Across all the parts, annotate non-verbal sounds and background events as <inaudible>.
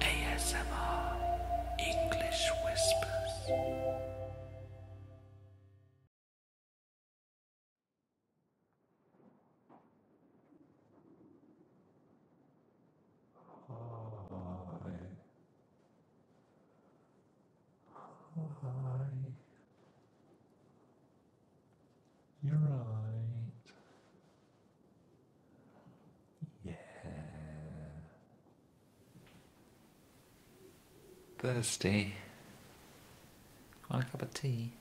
ASMR English Whispers. Hi. Hi. You're right. Yeah. Thirsty. Want a cup of tea?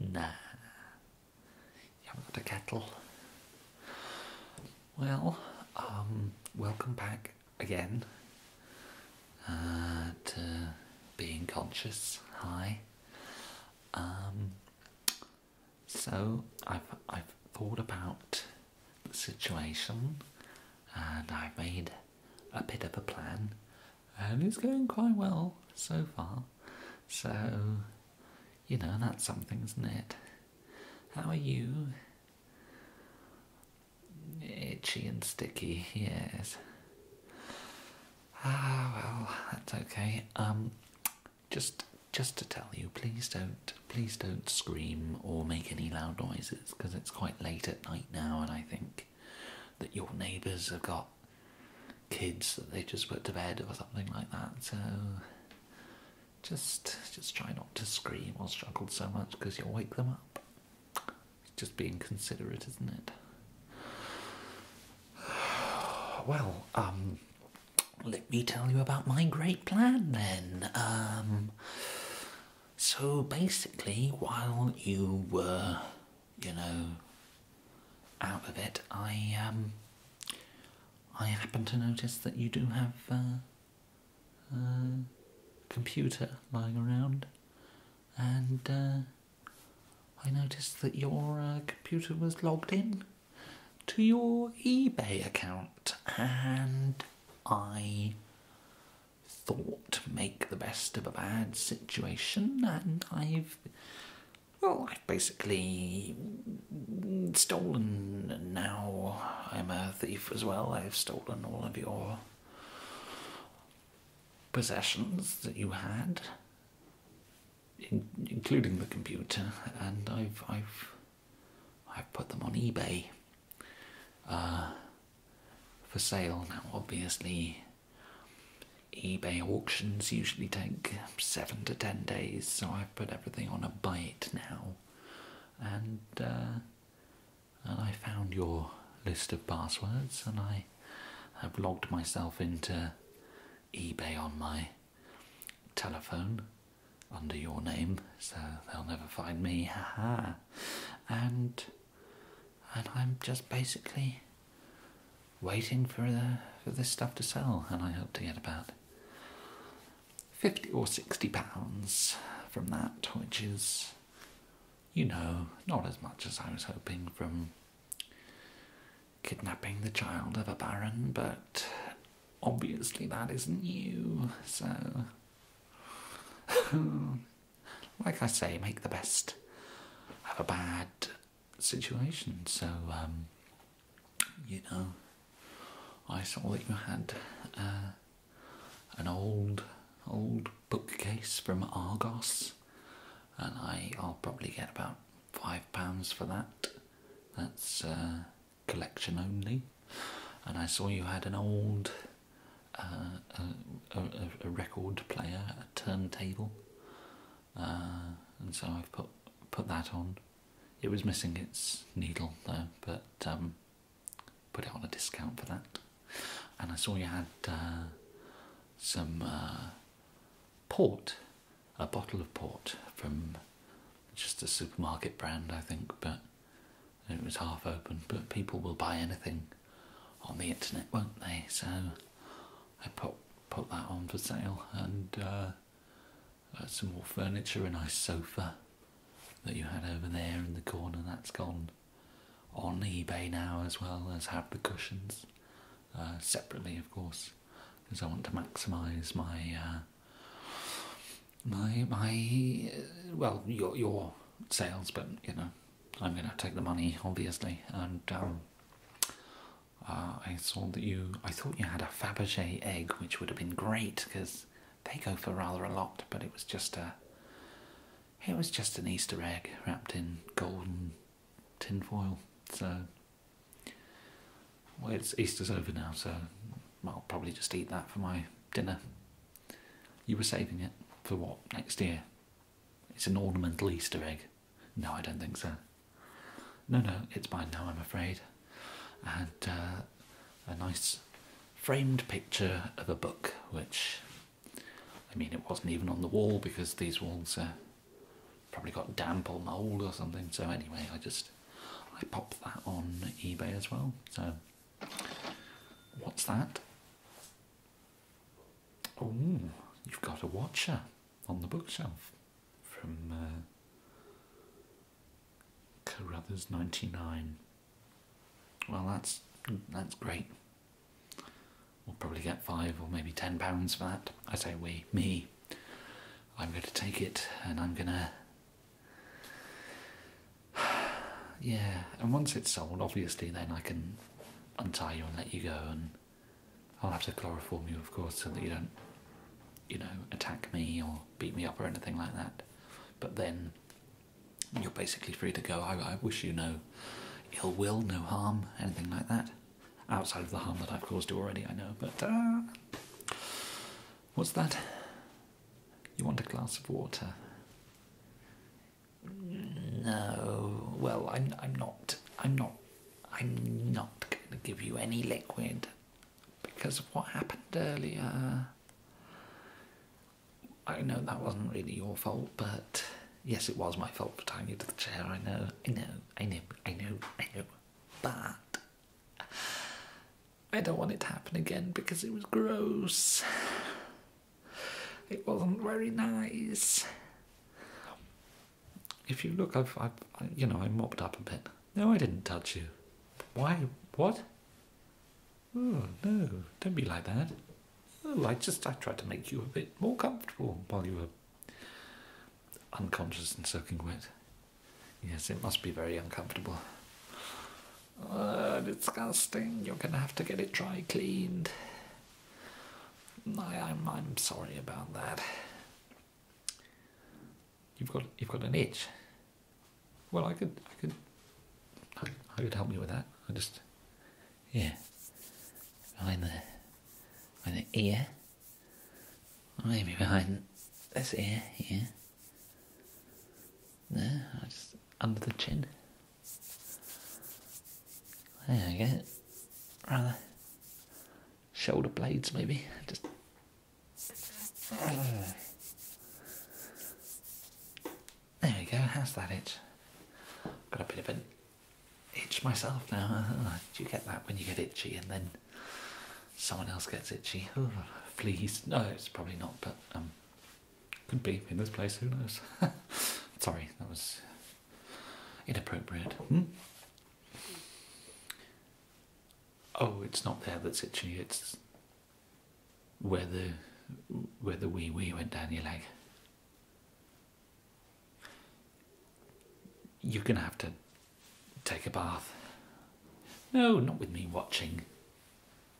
Nah. You haven't got a kettle. Well, um, welcome back again uh, to Being Conscious. Hi. Um, so I've I've thought about the situation and I've made a bit of a plan and it's going quite well so far. So you know that's something, isn't it? How are you? Itchy and sticky, yes. Ah, well, that's okay. Um, just, just to tell you, please don't, please don't scream or make any loud noises because it's quite late at night now, and I think that your neighbours have got kids that they just put to bed or something like that. So, just, just try not to scream or struggle so much because you'll wake them up. just being considerate, isn't it? Well, um, let me tell you about my great plan then. Um, so basically, while you were, you know, out of it, I um, I happened to notice that you do have a uh, uh, computer lying around, and uh, I noticed that your uh, computer was logged in to your eBay account, and I thought make the best of a bad situation, and I've well, I've basically stolen. now I'm a thief as well. I've stolen all of your possessions that you had including the computer, and I've I've I've put them on eBay uh, for sale now. Obviously, eBay auctions usually take seven to ten days, so I've put everything on a bite now, and uh, and I found your list of passwords, and I have logged myself into eBay on my telephone under your name, so they'll never find me. Haha. and and I'm just basically waiting for the for this stuff to sell, and I hope to get about fifty or sixty pounds from that, which is you know, not as much as I was hoping from kidnapping the child of a baron, but obviously that new. so. <laughs> like I say, make the best of a bad situation, so, um, you know, I saw that you had uh, an old, old bookcase from Argos, and I'll probably get about five pounds for that. That's uh, collection only. And I saw you had an old uh, a, record player, a turntable, uh, and so I've put put that on. It was missing its needle though, but um, put it on a discount for that. And I saw you had uh, some port, a bottle of port from just a supermarket brand, I think, but it was half open. But people will buy anything on the internet, won't they? So I put put that on for sale and uh, uh, some more furniture, a nice sofa that you had over there in the corner. That's gone on eBay now as well as have the cushions. Uh, separately, of course, because I want to maximise uh, my my my uh, well your your sales, but you know I'm going to take the money obviously. And um, I saw that you I thought you had a Fabergé egg, which would have been great because they go for rather a lot, but it was just a it was just an Easter egg wrapped in golden Tin foil. So, well, it's Easter's over now, so I'll probably just eat that for my dinner. You were saving it for what next year? It's an ornamental Easter egg. No, I don't think so. No, no, it's by now, I'm afraid. And uh, a nice framed picture of a book, which I mean, it wasn't even on the wall because these walls probably got damp or mould or something. So anyway, I just I popped that on eBay as well. So what's that? Oh, you've got a watcher on the bookshelf from uh, Carruthers ninety nine. Well, that's that's great. We'll probably get five or maybe ten pounds for that. I say we, me. I'm going to take it and I'm going <sighs> to. yeah, and once it's sold, obviously, then I can untie you and let you go, and I'll have to chloroform you, of course, so that you don't, you know, attack me or beat me up or anything like that. But then you're basically free to go. I, I wish you no ill will, no harm, anything like that outside of the harm that I've caused you already, I know, but uh, what's that? You want a glass of water? No. Well, I'm. I'm not. I'm not. I'm not going to give you any liquid because of what happened earlier. I know that wasn't really your fault, but Yes, it was my fault for tying you to the chair. I know, I know, I know, I know, I know. But I don't want it to happen again because it was gross. It wasn't very nice. If you look, I've, I've I, you know, I mopped up a bit. No, I didn't touch you. Why? What? Oh no! Don't be like that. Oh, I just I tried to make you a bit more comfortable while you were Unconscious and soaking wet. Yes, it must be very uncomfortable. Uh, disgusting. You're gonna have to get it dry cleaned. I, am I'm sorry about that. You've got you've got an itch. Well, I could I could I, could help you with that. I just yeah, behind the, behind the ear, maybe behind this ear here, there, just under the chin. There we go, rather shoulder blades maybe, just. There we go, how's that itch? Got a bit of a itch myself now. Ah, do you get that when you get itchy and then someone else gets itchy? Oh, fleas. No, it's probably not, but um, could be in this place. Who knows? <laughs> Sorry, that was inappropriate. Hmm? Oh, it's not there that's itchy. It's where the where the wee wee went down your leg. You're going to have to take a bath. No, not with me watching.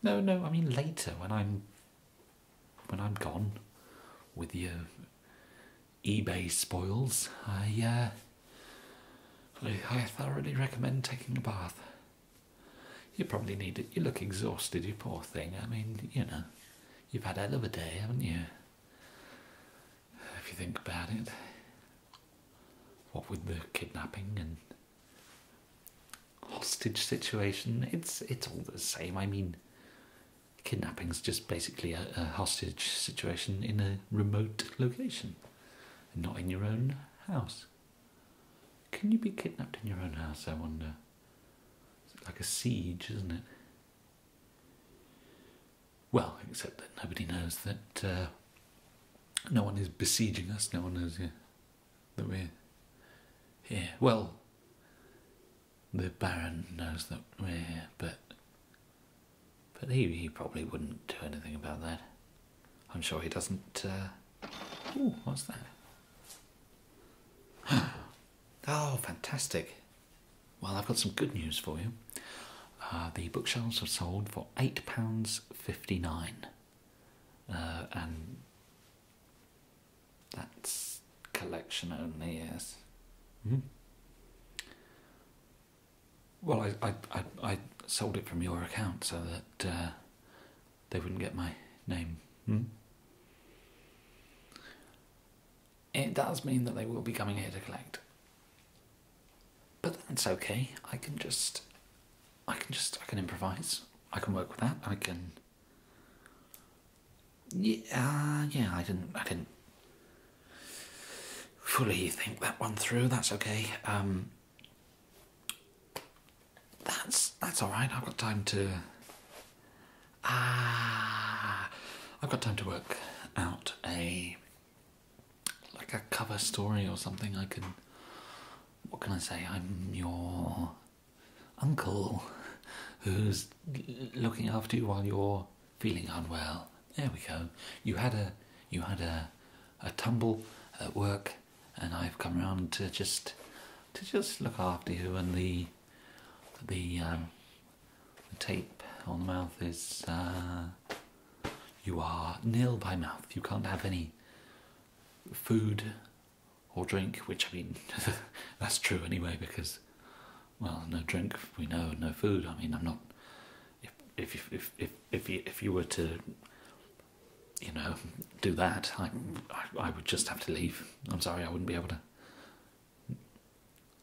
No, no, I mean later when I'm when I'm gone with your uh, eBay spoils. I uh I, I thoroughly recommend taking a bath. You probably need it. You look exhausted, you poor thing. I mean, you know. You've had a hell of a day, haven't you? If you think about it. What with the kidnapping and hostage situation, it's it's all the same. I mean, kidnapping's just basically a, hostage situation in a remote location, not in your own house. Can you be kidnapped in your own house? I wonder. like a siege, isn't it? Well, except that nobody knows that uh, no one is besieging us, no one knows that we're here. Well, the Baron knows that we're here, but but he, he probably wouldn't do anything about that. I'm sure he doesn't. Uh... what's that? Oh, fantastic. Well, I've got some good news for you. Uh, the bookshelves are sold for £8.59. Uh, and that's collection only, yes. Mm-hmm. Well, I, I, I, I, sold it from your account so that uh, they wouldn't get my name. Hmm? it does mean that they will be coming here to collect. But that's okay. I can just, I can just, I can improvise. I can work with that. I can. Yeah, uh, yeah. I didn't, I didn't fully think that one through. That's okay. Um, that's that's all right. I've got time to Ah, I've got time to work out a like a cover story or something. I can. What can I say? I'm your uncle who's looking after you while you're feeling unwell. There we go. You had a you had a a tumble at work, and I've come round to just to just look after you and the um, the, tape on the mouth is uh, you are nil by mouth. You can't have any food or drink, which I mean, <laughs> that's true anyway, because, well, no drink, we know, no food. I mean, I'm not. If, if, if, if, if, you, were to, you know, do that, I, I would just have to leave. I'm sorry, I wouldn't be able to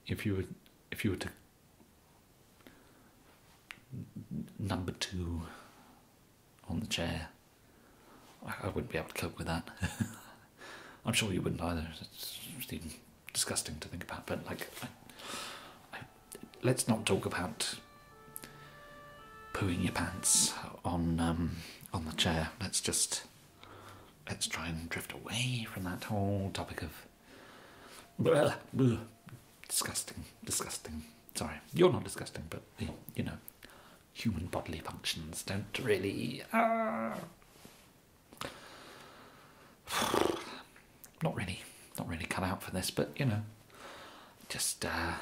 if you were if you were to number two on the chair, I, wouldn't be able to cope with that. <laughs> I'm sure you wouldn't either. It's even disgusting to think about. But like, let's not talk about pooing your pants on um, on the chair. Let's just let's try and drift away from that whole topic of well, disgusting, disgusting. Sorry, you're not disgusting, but you know, human bodily functions don't really. Uh, <sighs> not really, not really cut out for this, but you know, just uh,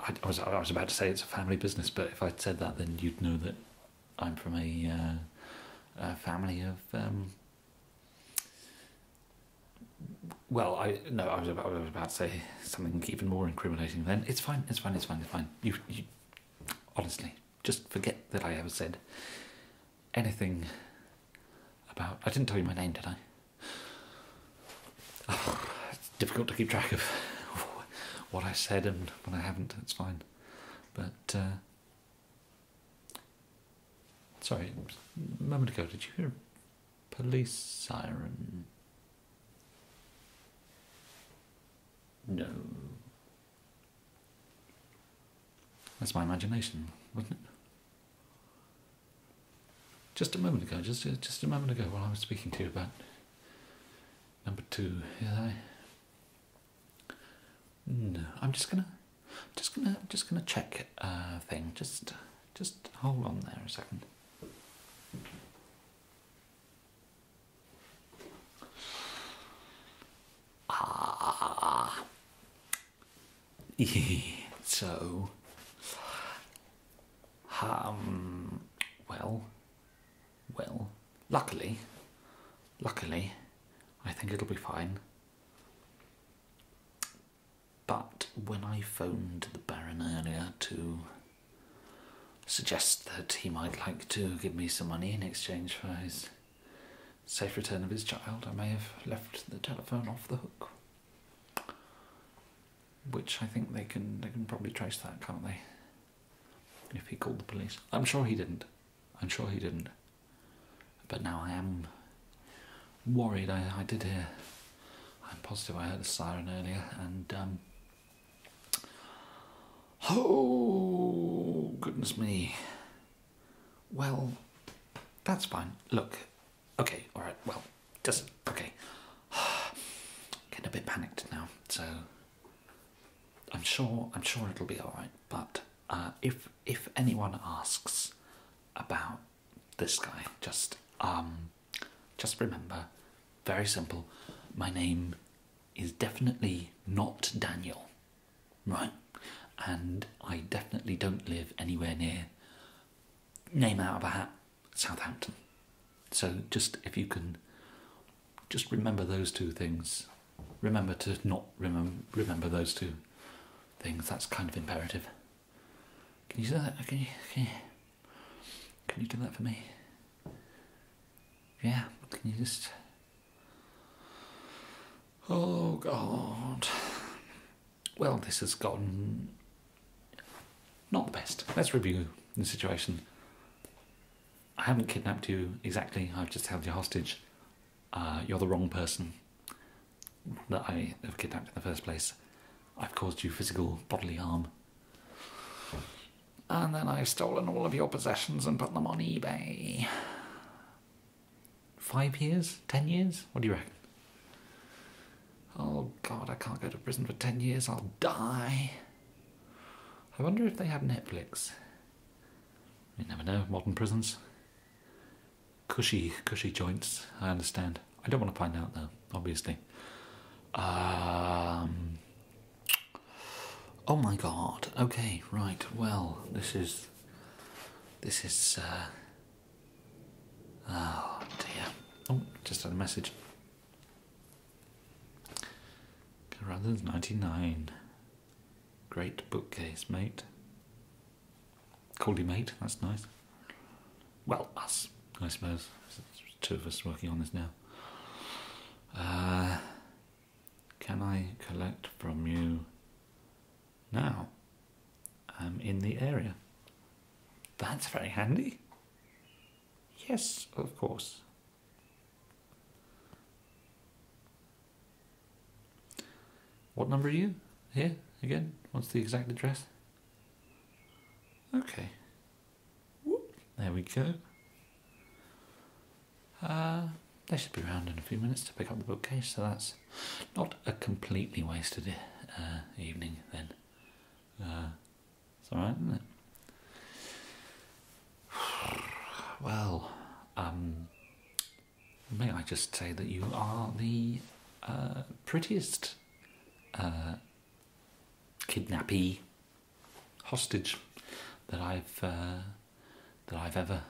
I was, about to say it's a family business, but if I would said that, then you'd know that I'm from a, uh, family of. Um, well, I no, I was, about, to say something even more incriminating. Then it's fine, it's fine, it's fine, it's fine. you honestly, just forget that I ever said anything about. I didn't tell you my name, did I? it's difficult to keep track of what I said and when I haven't. That's fine, but uh, sorry, a moment ago, did you hear a police siren? No. That's my imagination, wasn't it? Just a moment ago, just uh, just a moment ago, while I was speaking to you about number two, is I. No, I'm just gonna, just gonna, just gonna check a uh, thing. Just, just hold on there a second. Ah. <laughs> so um, well, well, luckily, luckily, I think it'll be fine. But when I phoned the Baron earlier to suggest that he might like to give me some money in exchange for his safe return of his child, I may have left the telephone off the hook which I think they can they can probably trace that, can't they? If he called the police, I'm sure he didn't. I'm sure he didn't. But now I am worried. I I did hear. I'm positive I heard a siren earlier, and um, Oh goodness me. Well, that's fine. Look, Okay, all right. Well, just Okay. <sighs> Getting a bit panicked now, so I'm sure I'm sure it'll be all right. But uh, if if anyone asks about this guy, just um, just remember, very simple. My name is definitely not Daniel, right? And I definitely don't live anywhere near name out of a hat Southampton. So just if you can just remember those two things. Remember to not remember remember those two things. That's kind of imperative. Can you do that? can you, can you do that for me? Yeah, can you just Oh God well, this has gotten not the best. Let's review the situation. I haven't kidnapped you exactly, I've just held you hostage. Uh, you're the wrong person that I have kidnapped in the first place. I've caused you physical bodily harm. And then I've stolen all of your possessions and put them on eBay. Five years? Ten years? What do you reckon? Oh god, I can't go to prison for 10 years, I'll die. I wonder if they have Netflix. You never know, modern prisons. Cushy, cushy joints, I understand. I don't want to find out though, obviously. Um, oh my god, okay, right, well, this is. This is. Uh, Oh dear. Oh, just had a message. Rather than 99. Great bookcase, mate. Coldy, mate, that's nice. Well, us, I suppose. two of us working on this now. Uh, can I collect from you now? um, in the area. That's very handy. Yes, of course. What number are you? Here again? What's the exact address? Okay. There we go. Uh, they should be round in a few minutes to pick up the bookcase, so that's not a completely wasted uh, evening then. Yeah, uh, it's all right, isn't it? <sighs> Well, um, may I just say that you are the uh, prettiest uh, kidnappee hostage that I've uh, that I've ever.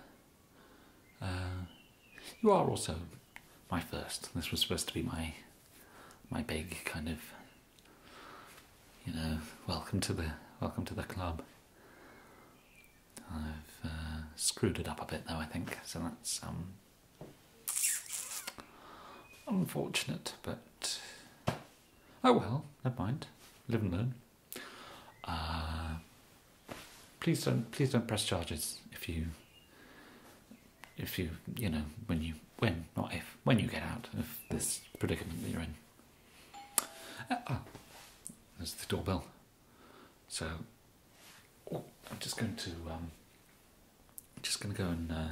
you are also my first. This was supposed to be my my big kind of you know welcome to the welcome to the club. I've uh, screwed it up a bit though, I think. So that's um, unfortunate, but oh well. Never mind. Live and learn. Uh, please don't please don't press charges if you if you you know when you when not if when you get out of this predicament that you're in. Ah, ah, there's the doorbell. So oh, I'm just going to I'm um, just going to go and uh,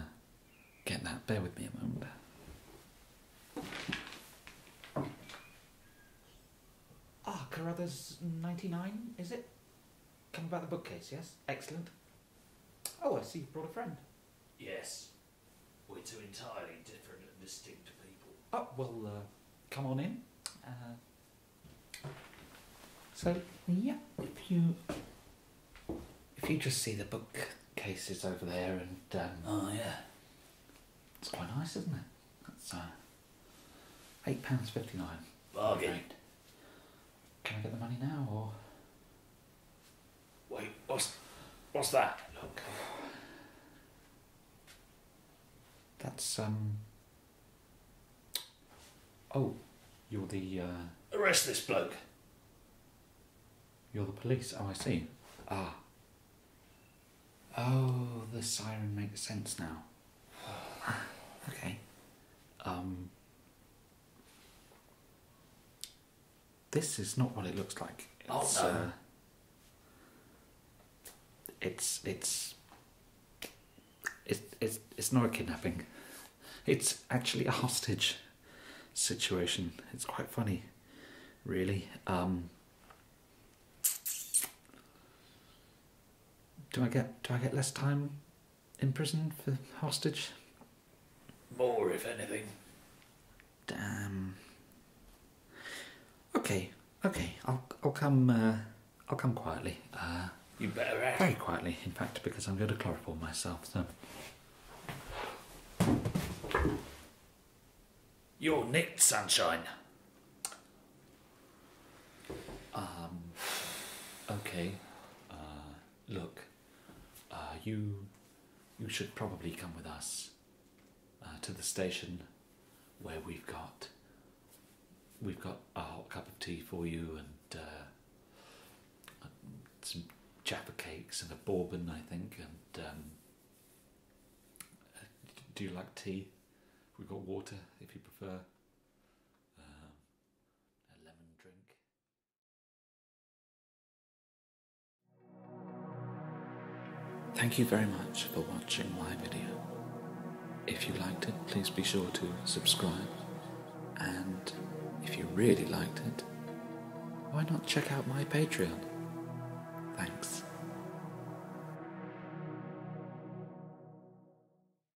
get that. Bear with me a moment. Ah, Carruthers 99, is it? Come about the bookcase, yes? Excellent. Oh, I see you brought a friend. Yes. We're two entirely different and distinct people. Oh, well, uh, come on in. Uh, so, yeah, if you... If you just see the bookcases over there and... Um, oh, yeah. It's quite nice, isn't it? That's uh, £8.59. Bargain. Right can I get the money now or? Wait, what's what's that? Look. That's um. Oh, you're the. Uh, Arrest this bloke. You're the police. Oh, I see. Ah. Oh, the siren makes sense now. <sighs> okay. Um, this is not what it looks like. Oh, it's, uh, it's it's it's it's it's not a kidnapping. It's actually a hostage situation. It's quite funny, really. Um, do I get do I get less time in prison for hostage? More, if anything. Damn. Okay, okay. I'll I'll come. Uh, I'll come quietly. Uh, you better Very quietly, in fact, because I'm going to chloroform myself. So. You're nicked, sunshine. Um, okay, uh, look, uh, you, you should probably come with us uh, to the station where we've got, we've got a hot cup of tea for you and some Jaffa cakes and a bourbon, I think, and um, do you like tea? We've got water if you prefer. Um, Thank you very much for watching my video. If you liked it, please be sure to subscribe. And if you really liked it, why not check out my Patreon? Thanks.